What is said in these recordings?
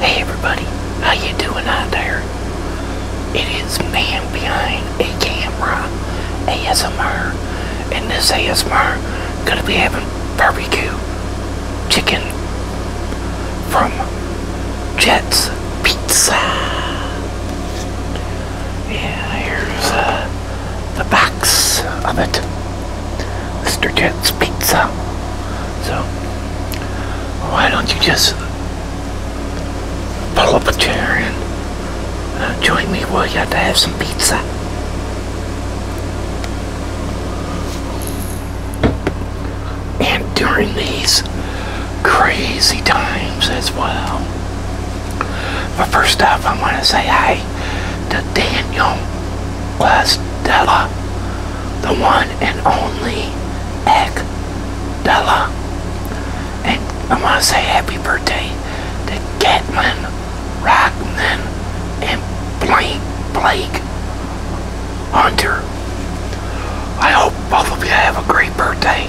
Hey everybody, how you doing out there? It is man behind a camera ASMR and this ASMR gonna be having barbecue chicken from Jets Pizza. Yeah, here's uh, the box of it. Mr. Ted's Pizza. So, why don't you just pull up a chair and uh, join me, will you, to have some pizza? And during these crazy times as well. But first off, I want to say hi to Daniel was Della, the one and only Egg Della. And I want to say happy birthday to Gatlin, Rockman, and Blake, Blake Hunter. I hope both of you have a great birthday.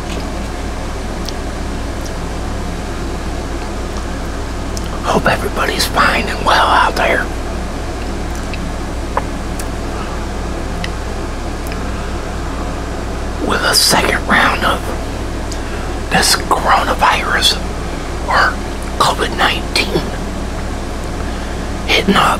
Hope everybody's fine and well out there. With a second round of this coronavirus or COVID 19 hitting up.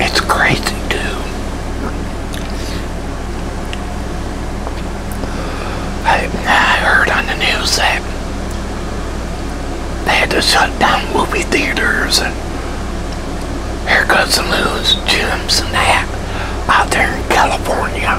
It's crazy too. I, I heard on the news that they had to shut down movie theaters and haircuts and loons, gyms and that out there in California.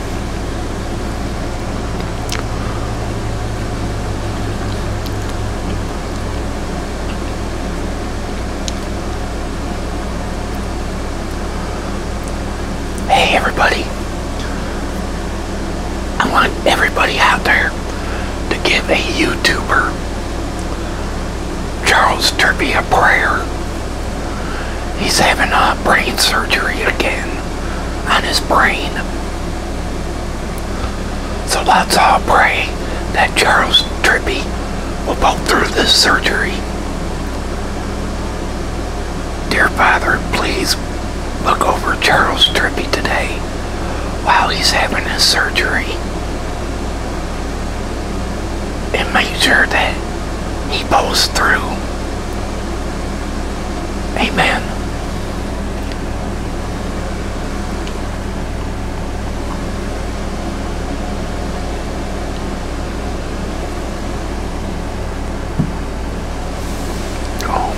Hey everybody, I want everybody out there to give a YouTuber, Charles Turpie, a prayer. He's having a brain surgery again on his brain. So let's all pray that Charles Trippy will pull through this surgery. Dear Father, please look over Charles Trippy today while he's having his surgery. And make sure that he pulls through. Amen. Oh.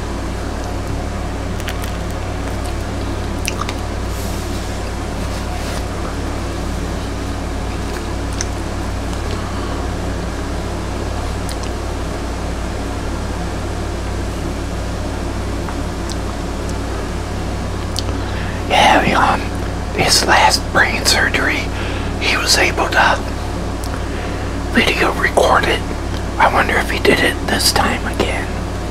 Yeah, on um, his last brain surgery, he was able to video record it. I wonder if he did it this time again.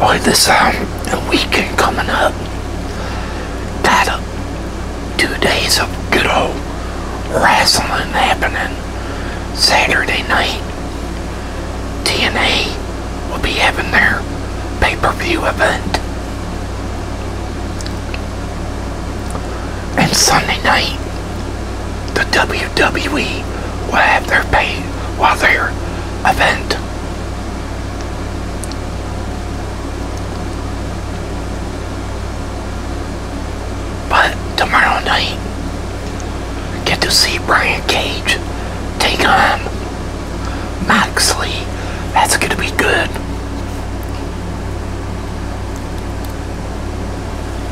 Boy, this um, weekend coming up, got uh, two days of good old wrestling happening Saturday night. TNA will be having their pay-per-view event. And Sunday night, the WWE will have their pay while their event. But tomorrow night, get to see Brian Cage take on Max Lee. That's going to be good.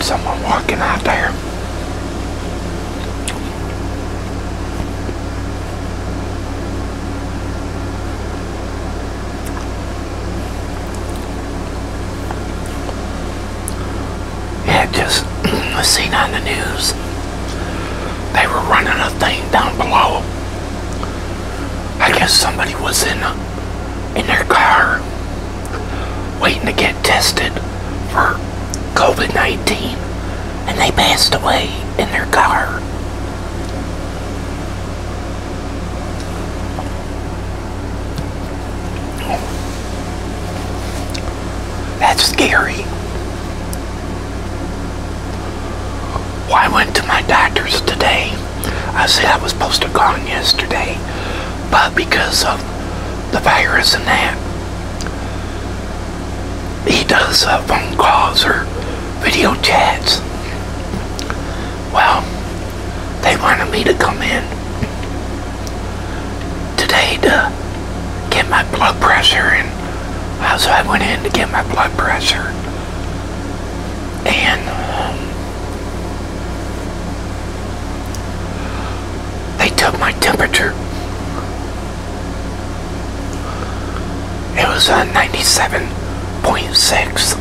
someone walking out there. Yeah, just I seen on the news. They were running a thing down below. I guess somebody was in in their car waiting to get tested for COVID 19 and they passed away in their car. That's scary. Well, I went to my doctor's today. I said I was supposed to have gone yesterday, but because of the virus and that, he does uh, phone calls or video chats. Well, they wanted me to come in today to get my blood pressure, and so I went in to get my blood pressure, and um, they took my temperature. It was on uh, 97.6.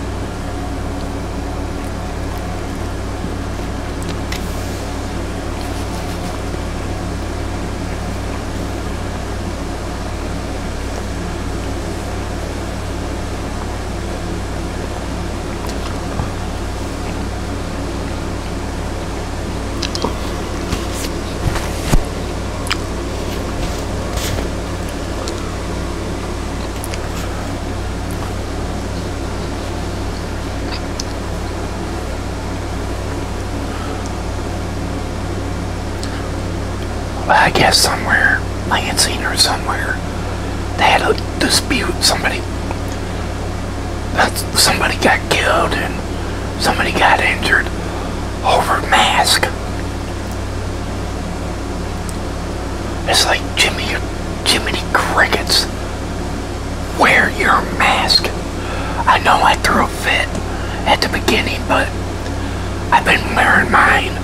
I guess somewhere, I had seen her somewhere, they had a dispute. Somebody somebody got killed and somebody got injured over mask. It's like Jimmy, Jiminy Crickets. Wear your mask. I know I threw a fit at the beginning, but I've been wearing mine.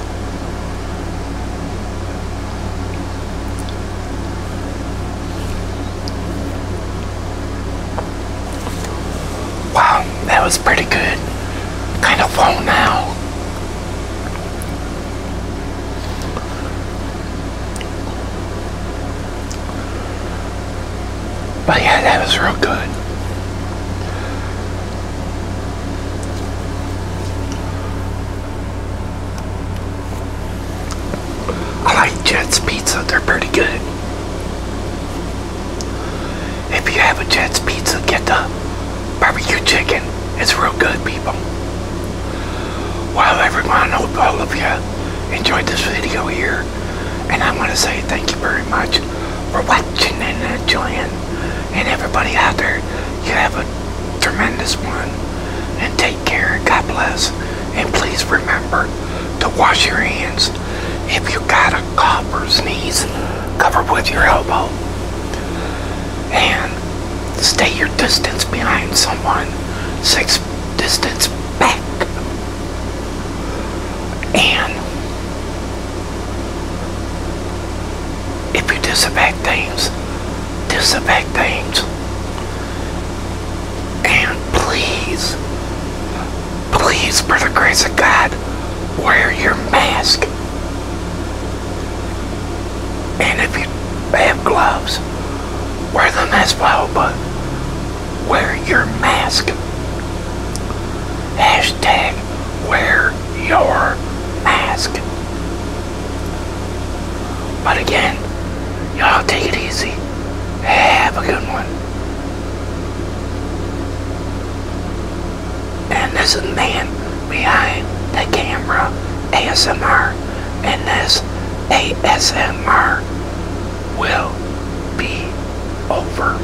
Wow, that was pretty good. Kind of low now. But yeah, that was real good. I like Jet's Pizza, they're pretty good. If you have a Jet's Pizza, get the barbecue chicken. It's real good, people. Well, everyone, hope all of you enjoyed this video here. And I want to say thank you very much for watching and enjoying and everybody out there, you have a tremendous one. And take care. God bless. And please remember to wash your hands. If you got a cough or sneeze, cover with your elbow. And stay your distance behind someone. Six distance back. And if you disaffect things, disaffect things. And please, please, for the grace of God, wear your mask. And if you have gloves, wear them as well, but wear your mask. Hashtag wear your mask. But again, y'all take it easy. Have a good one. And this is man behind the camera ASMR. And this ASMR will be over.